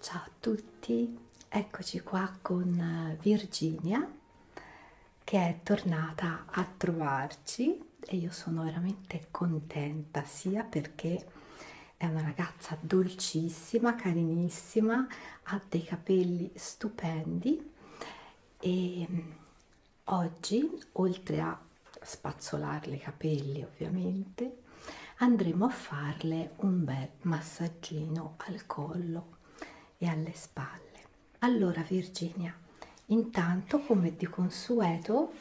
Ciao a tutti, eccoci qua con eh, Virginia che è tornata a trovarci e io sono veramente contenta sia perché è una ragazza dolcissima, carinissima, ha dei capelli stupendi e mm, oggi oltre a spazzolarle i capelli ovviamente andremo a farle un bel massaggino al collo e alle spalle allora Virginia intanto come di consueto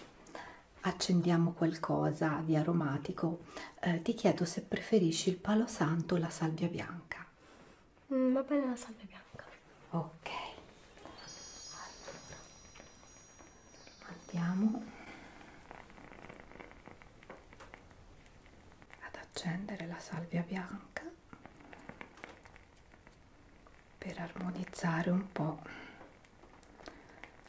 accendiamo qualcosa di aromatico eh, ti chiedo se preferisci il palo santo o la salvia bianca mm, va bene la salvia bianca ok allora. andiamo ad accendere la salvia bianca per armonizzare un po'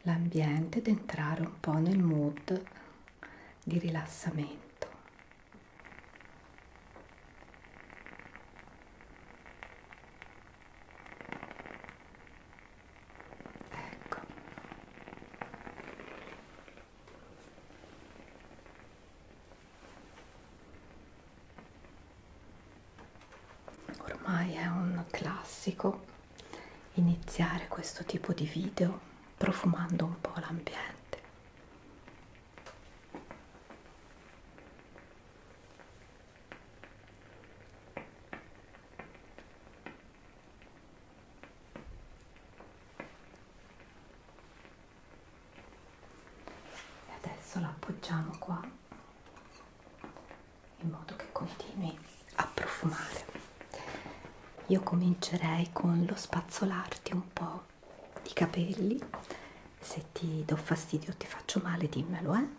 l'ambiente ed entrare un po' nel mood di rilassamento. Ecco, Ormai è un classico iniziare questo tipo di video profumando un po' l'ambiente e adesso la appoggiamo qua in modo che continui a profumare io comincerei con lo spazzolarti un po i capelli se ti do fastidio o ti faccio male dimmelo eh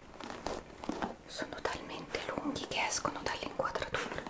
sono talmente lunghi che escono dall'inquadratura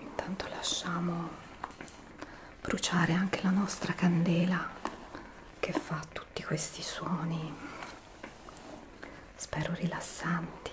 Intanto lasciamo bruciare anche la nostra candela che fa tutto tutti questi suoni spero rilassanti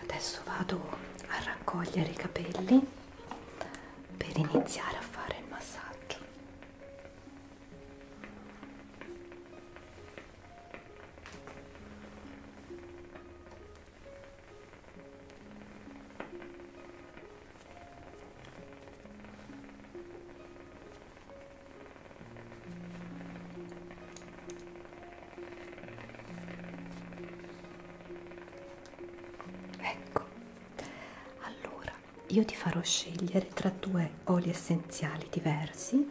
Adesso vado a raccogliere i capelli per iniziare a fare il massaggio. Ecco, allora io ti farò scegliere tra due oli essenziali diversi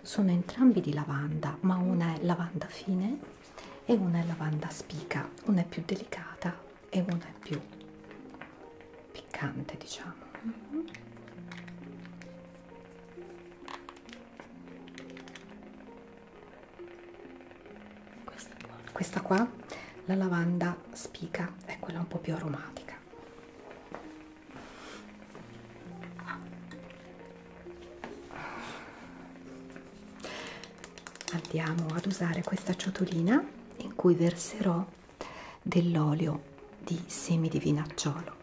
sono entrambi di lavanda ma una è lavanda fine e una è lavanda spica una è più delicata e una è più piccante diciamo mm -hmm. questa, è buona. questa qua la lavanda spica è quella un po' più aromatica Andiamo ad usare questa ciotolina in cui verserò dell'olio di semi di vinacciolo.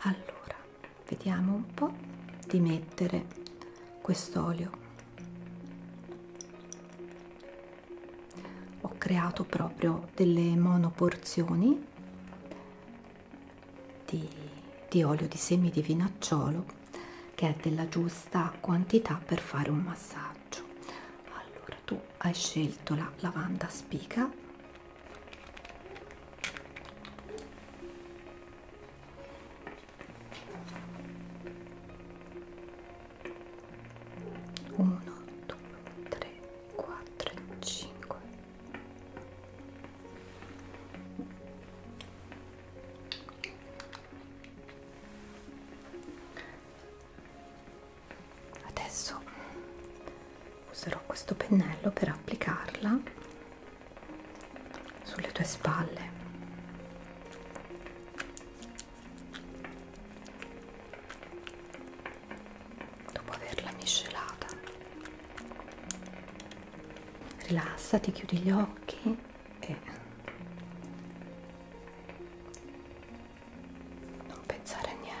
Allora, vediamo un po' di mettere quest'olio ho creato proprio delle monoporzioni di, di olio di semi di vinacciolo che è della giusta quantità per fare un massaggio allora tu hai scelto la lavanda spica 1, 2, 3, 4, 5 adesso userò questo pennello per applicarla sulle tue spalle dopo averla miscelata rilassati chiudi gli occhi e non pensare a niente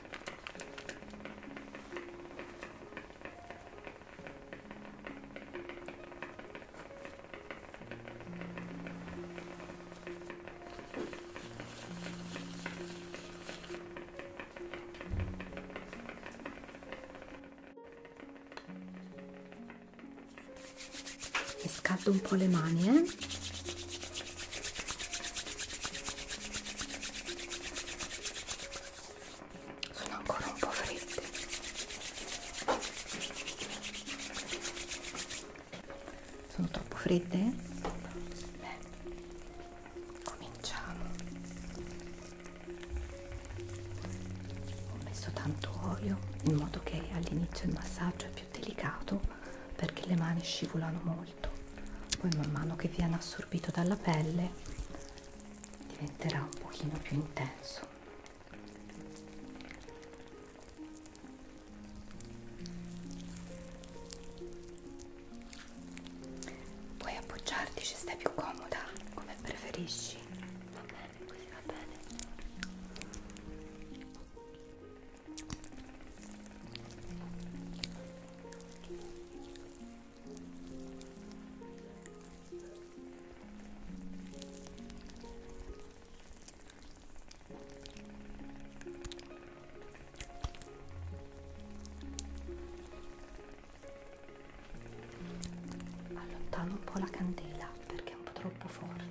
scaldo un po' le mani eh? sono ancora un po' freddi sono troppo fredde? Beh, cominciamo ho messo tanto olio in modo che all'inizio il massaggio è più delicato perché le mani scivolano molto molto poi man mano che viene assorbito dalla pelle diventerà un pochino più intenso puoi appoggiarti se stai più comoda come preferisci va bene così va bene Allontano un po' la candela perché è un po' troppo forte.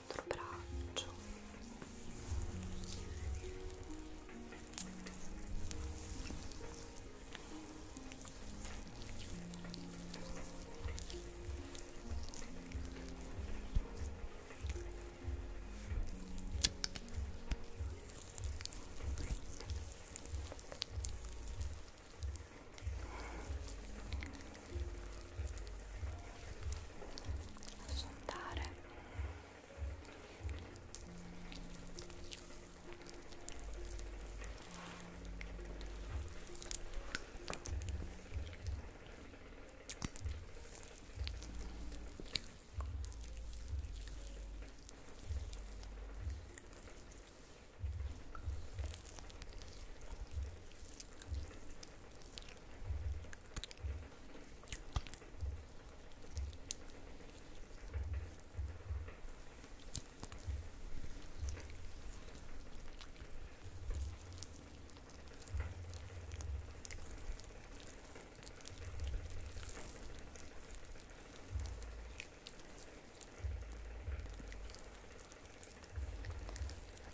l'altro braccio posso andare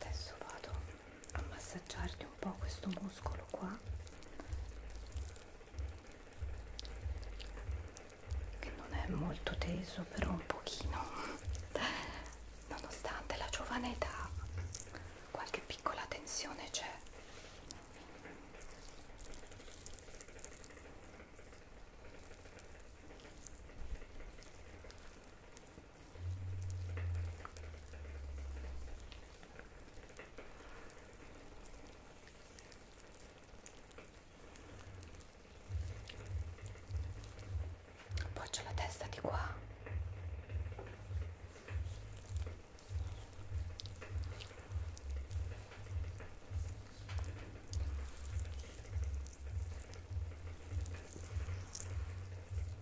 Adesso vado a massaggiarti un po' questo muscolo qua che non è molto teso però un pochino nonostante la giovane età qualche piccola tensione c'è Appoggio la testa di qua.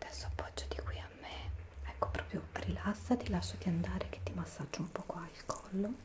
adesso appoggio di qui a me ecco proprio rilassati lasciati andare che ti massaggio un po' qua il collo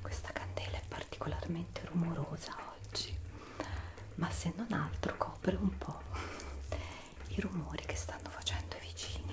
Questa candela è particolarmente rumorosa oggi, ma se non altro copre un po' i rumori che stanno facendo i vicini.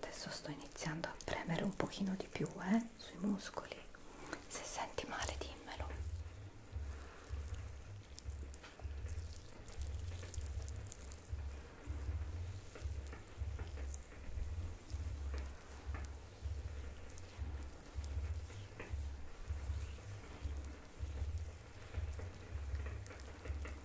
adesso sto iniziando a premere un pochino di più eh, sui muscoli se senti male dimmelo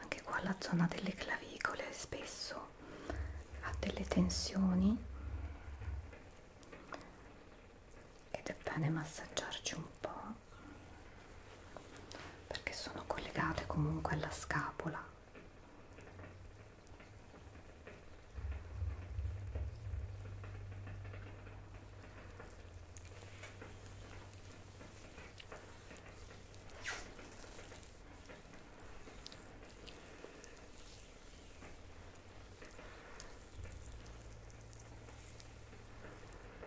Anche qua la zona delle clavicole spesso ha delle tensioni ed è bene massaggiarci un po' perché sono collegate comunque alla scapola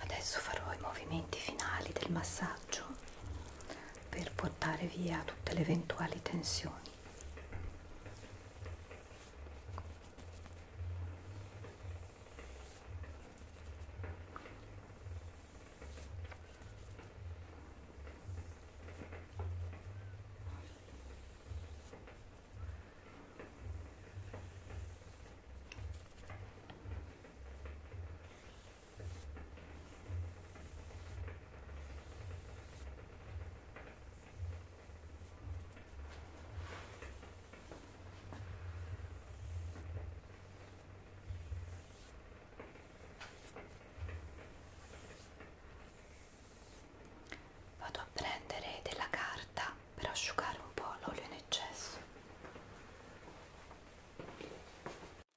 Adesso farò i movimenti finali del massaggio per portare via tutte le eventuali tensioni. Vado a prendere della carta per asciugare un po' l'olio in eccesso.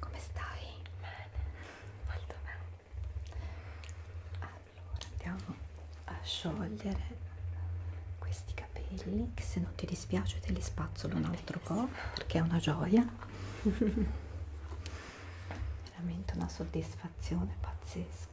Come stai? Bene, molto bene. Allora andiamo a sciogliere questi capelli che se non ti dispiace te li spazzolo un altro po' perché è una gioia. Veramente una soddisfazione pazzesca.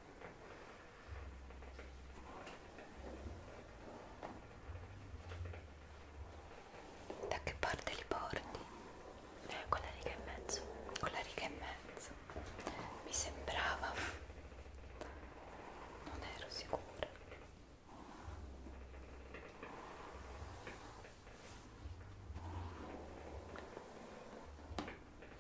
Da che parte li porti? Eh, con la riga e mezzo, con la riga e mezzo. Mi sembrava, non ero sicura.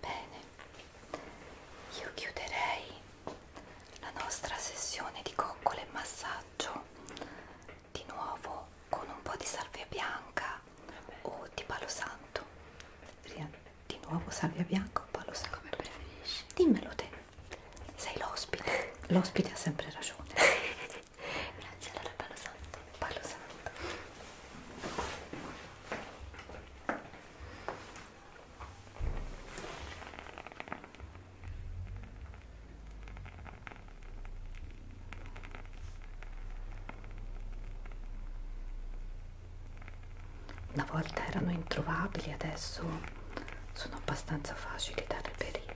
Bene, io chiuderei la nostra sessione di coccole e massaggio di nuovo con un po' di salvia bianca o di palo santo di nuovo salvia bianca o palo santo come preferisci dimmelo te sei l'ospite l'ospite ha sempre ragione grazie allora palo santo palo santo una volta erano introvabili, adesso sono abbastanza facili da reperire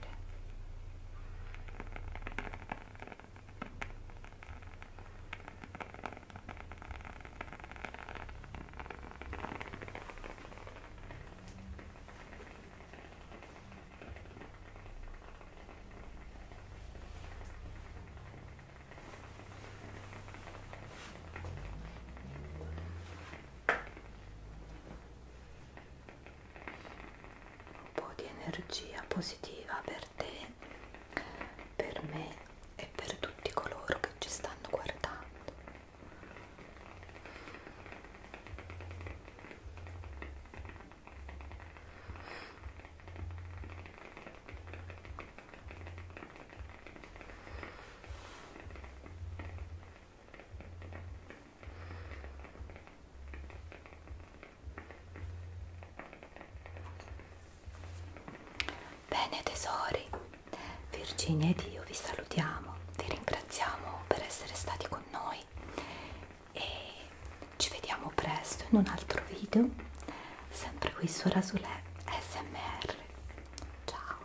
un po' di energia positiva per te, per me e per tutti coloro che ci stanno guardando. Bene tesori, Virginia ed io vi salutiamo, vi ringraziamo per essere stati con noi e ci vediamo presto in un altro video sempre qui su Rasulè SMR ciao